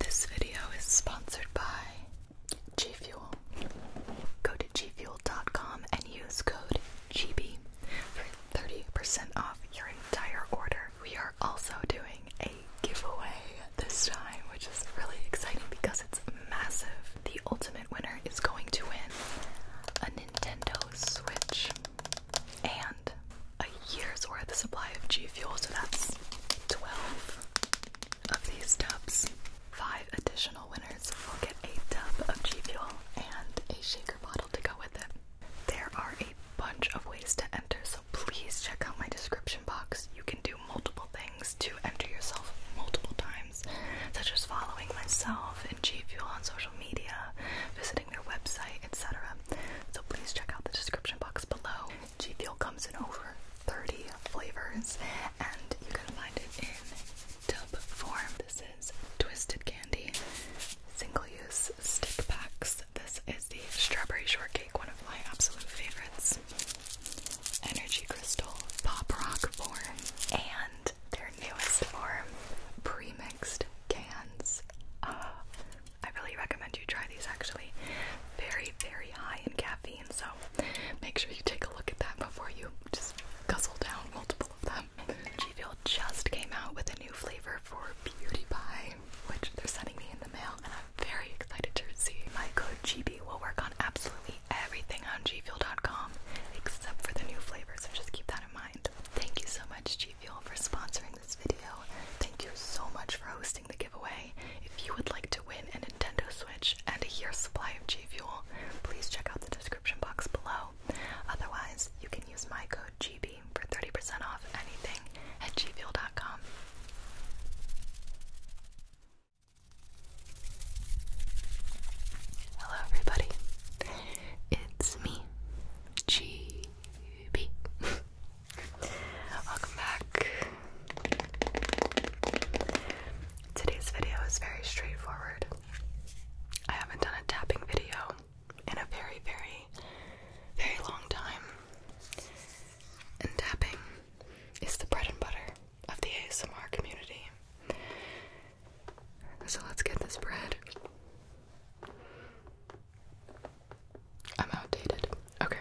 This video is sponsored by G Fuel. Go to gfuel.com and use code GB for 30% off your entire order. We are also doing a giveaway this time, which is really exciting because it's massive. The ultimate winner is going to win a Nintendo Switch and a year's worth of supply of G Fuel, so that's 12 of these tubs. Five additional winners will get a tub of G Fuel and a shaker bottle to go with it. There are a bunch of ways to enter, so please check out my description box. You can do multiple things to enter yourself multiple times, such as following myself and G Fuel on social media, visiting their website, etc. So please check out the description box below. G Fuel comes in over 30 flavors, and you can find it in tub form. This is Twisted Candy single use stick packs. This is the strawberry shortcake, one of my absolute favorites. Energy crystal pop rock form, and their newest form, premixed cans. I really recommend you try these actually. Very, very high in caffeine, so make sure you take a look at that before you just guzzle down multiple of them. G Fuel just came out with a new flavor for Beauty by, which they're sending me in the mail, and I'm very excited to see. My code GB will work on absolutely everything on G Fuel.com, except for the new flavor, so just keep that in mind. Thank you so much, G you for sponsoring this video. Thank you so much for hosting the giveaway. If you would like to win a Nintendo Switch and a year's supply of G Fuel, please check out the description box below. Otherwise, you can use my code GB for 30% off anything at gfuel.com. Hello, everybody. It's me, G Ruby. Welcome back. Today's video is very straightforward. I haven't done a tapping video in a very, very, very long time. And tapping is the bread and butter of the ASMR community. So let's get this bread. I'm outdated. Okay.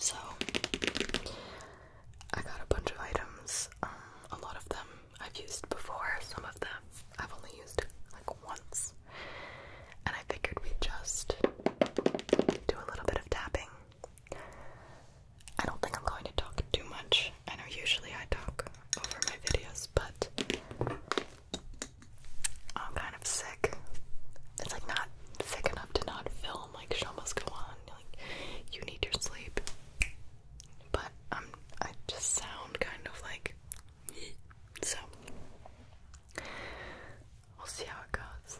So I got a bunch of items. Um, a lot of them I've used before. Some of them I've only used like once. And I figured we'd just do a little bit of tapping. I don't think I'm going to talk too much. I know usually I talk over my videos, but I'm kind of sick. It's like not sick enough to not film. Like show must go on. Like you need your sleep. But I'm. Um, I just sound kind of like. So we'll see how it goes.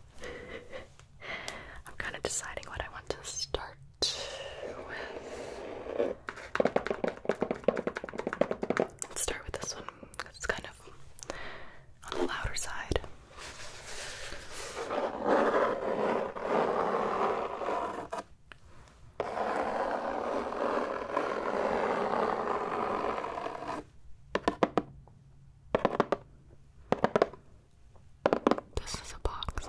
I'm kind of deciding what I want to start with. Let's start with this one it's kind of on the louder side. This is a box.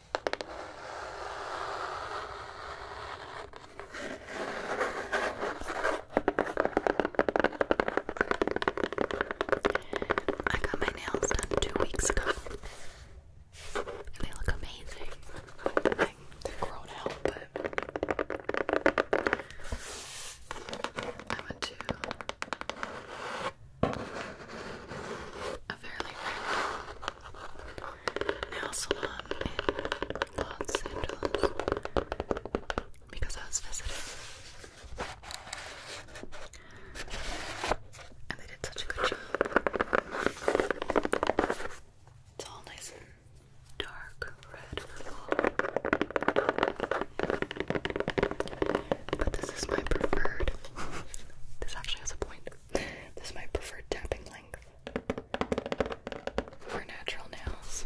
I got my nails done two weeks ago. They look amazing. they're grown out, but I went to a fairly rare nail salon in Los Angeles because I was visiting. And they did such a good job. It's all nice and dark red But this is my preferred. this actually has a this is my preferred tapping length for natural nails.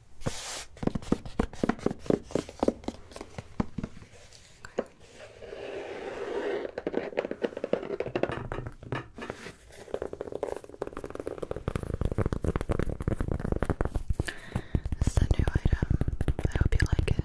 This a new item. I hope you like it.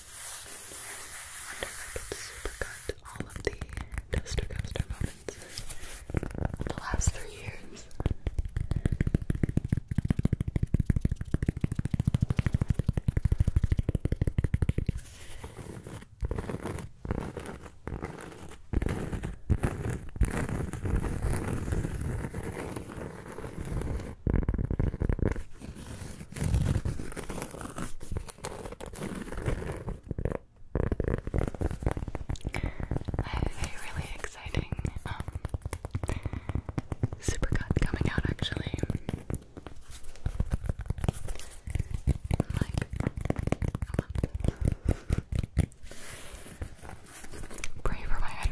Wonderful to supercut all of the Duster Coaster moments in the last three years a really exciting um, supercut coming out actually. like a month. Pray for my head.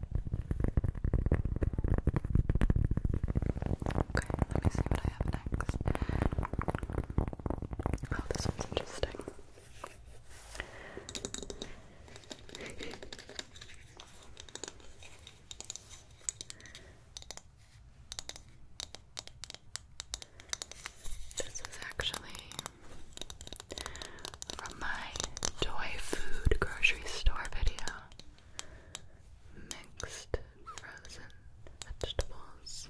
Okay, let me see what I have next. Oh, this one's interesting. This is actually from my toy food grocery store video mixed frozen vegetables.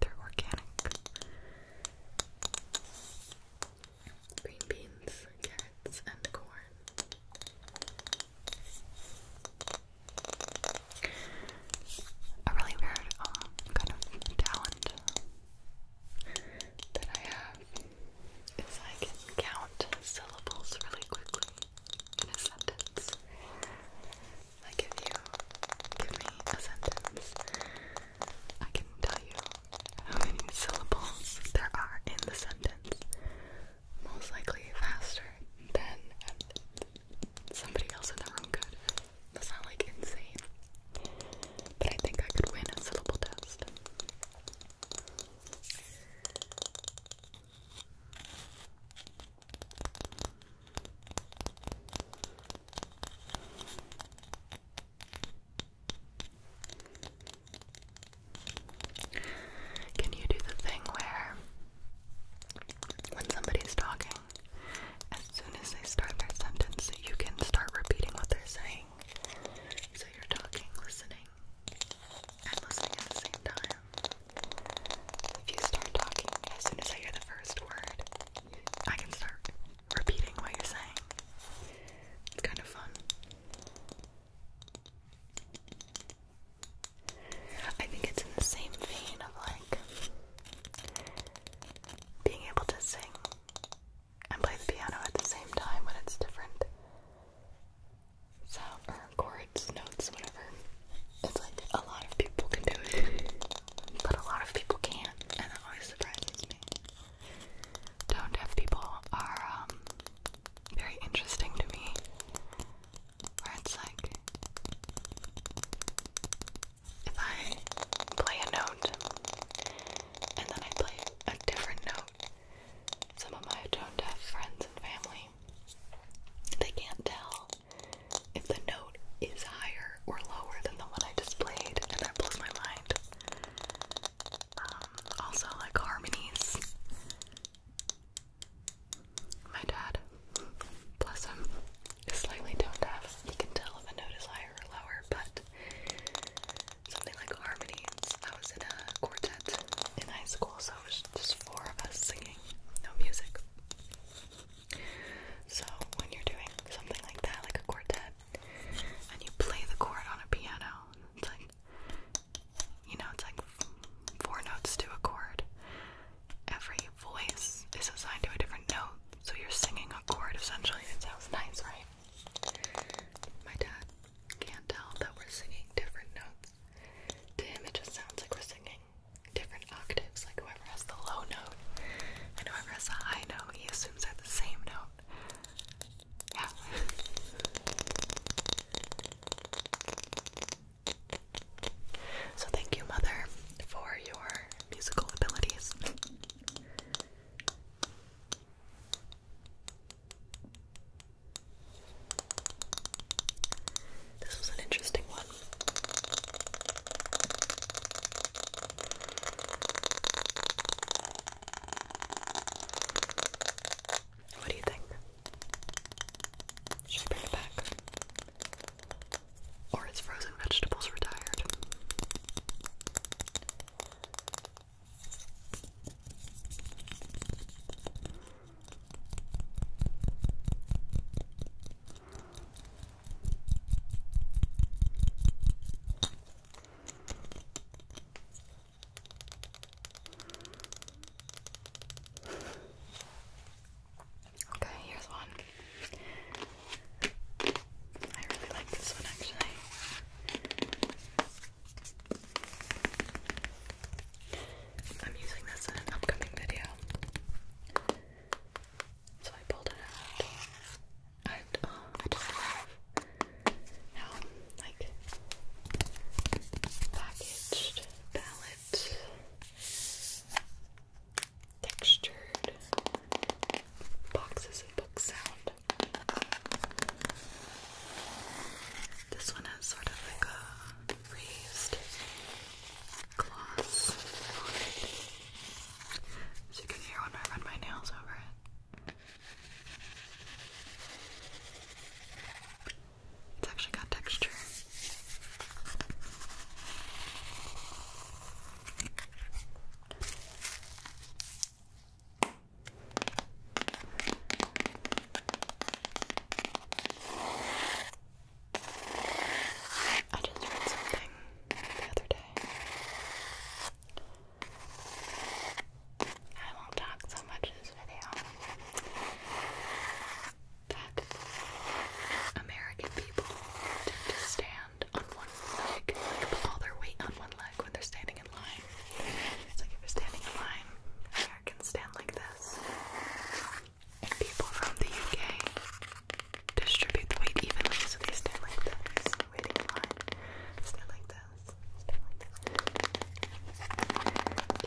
They're organic. Green beans, carrots, and corn. A really weird um, kind of talent that I have is I can count syllables really quickly in a sentence. I give you give me a sentence, I can tell you how many syllables there are in the sentence. Most likely faster than somebody else in the room could. That's not like insane. But I think I could win a syllable test. Can you do the thing where when somebody's talking, as soon as they start their sentence, you can start repeating what they're saying? So you're talking, listening, and listening at the same time. If you start talking, as soon as I hear the first word, I can start repeating what you're saying. It's kind of fun. I think it's in the same vein of like being able to sing and play the piano at the same time when it's different sound chords, notes, whatever. It's like a lot of people can do it, but a lot of people can't, and that always surprises me. Tone deaf people are um, very interesting to me, where it's like if I play a note and then I play a different note some of my tone deaf friends and family, they can't tell if the note is higher or lower than the one I displayed, and that blows my mind. Um, also, like harmonies. My dad, bless him, is slightly tone deaf. He can tell if a note is higher or lower, but Something like harmonies. I was in a quartet in high school, so it was just four of us singing, no music. So when you're doing something like that, like a quartet, and you play the chord on a piano, it's like you know, it's like four notes to a chord. Every voice is assigned to a different note, so you're singing a chord essentially. It sounds nice, right? My dad can't tell that we're singing different notes. To it just sounds like we're singing different octaves. Like whoever has the low note and whoever has the he assumes they're the same note. Yeah. So thank you, mother, for your musical abilities. This was an interesting one. What do you think? Should bring it back? Or is frozen vegetables retired? Okay, here's one. I really like this one actually. I'm using this in an upcoming video. So I pulled it out. Uh, I just love how like packaged, palette, textured boxes and books sound. This one has sort of like a raised gloss So you can hear when I run my nails over it. It's actually got texture. I just read something the other day. I won't talk so much in this video. That American people tend to stand on one leg, like put all their weight on one leg when they're standing in line. It's like you're standing in line, Americans stand like this. people from the UK distribute the weight evenly, so they stand like this, waiting line. Stand like this. Stand like this.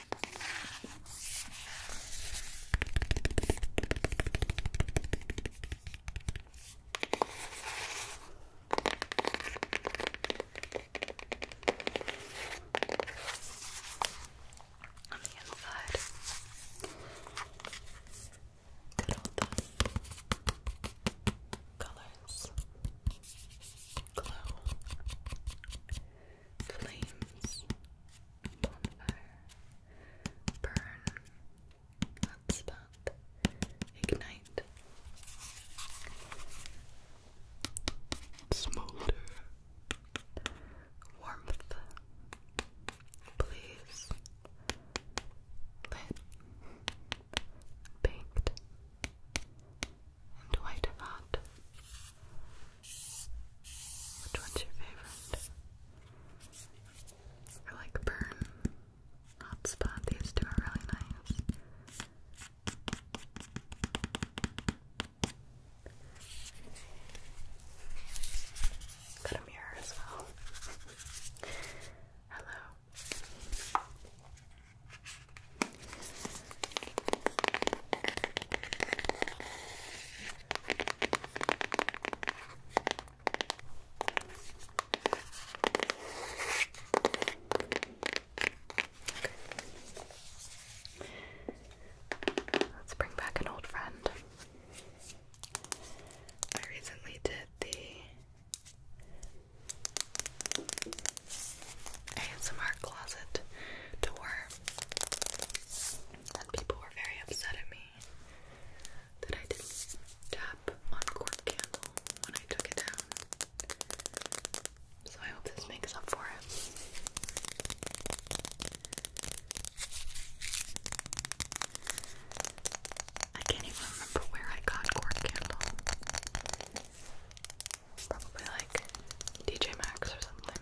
On the inside, good old colors, glow, flames, bonfire, burn, hotspot, ignite, smolder, warmth, please, lit, baked, and white hot. Which one's your favorite? I like Burn. Hot Spot. These two are really nice. Got a mirror as well. Hello. Let's bring back an old friend. I recently did the ASMR closet tour and people were very upset at me that I didn't tap on cork candle when I took it down. So I hope this makes up for it. I can't even remember where I got cork candle. Probably like DJ Max or something.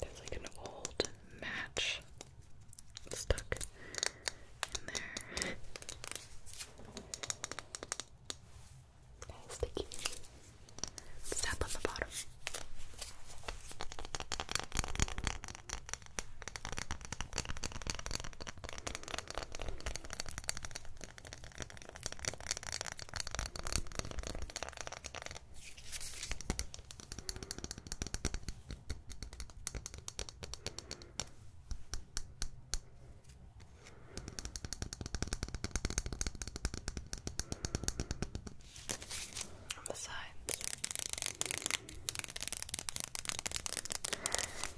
There's like an old match stuck in there. Nice sticky. Step on the bottom. On the sides.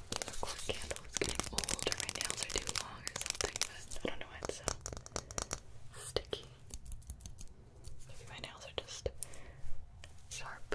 The candle is getting old, my nails are too long, or something. I don't know why it's so sticky. Maybe my nails are just sharp.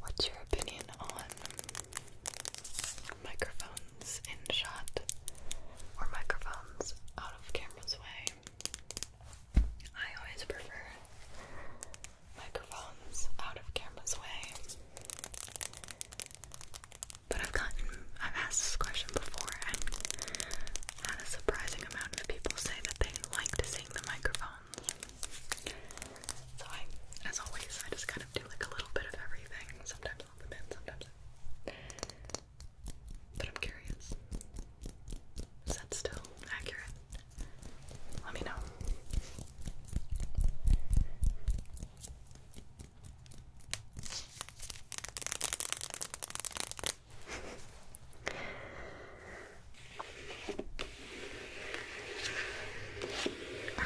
What's your opinion on microphones in shot or microphones out of camera's way? I always prefer microphones out of camera's way. But I've gotten, I've asked this question before, and had a surprising amount of people say that they liked seeing the microphones. So I, as always, I just kind of do like a little bit of everything. Sometimes on the bed, sometimes but I'm curious. Is that still accurate? Let me know.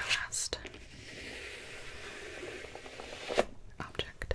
last object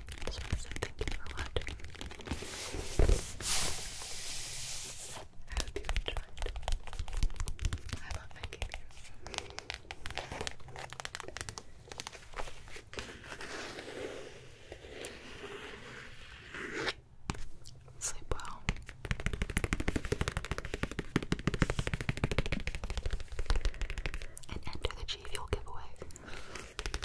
So, so thank you for watching. I hope you enjoyed. I love making these. Sleep well. And enter the G Fuel giveaway.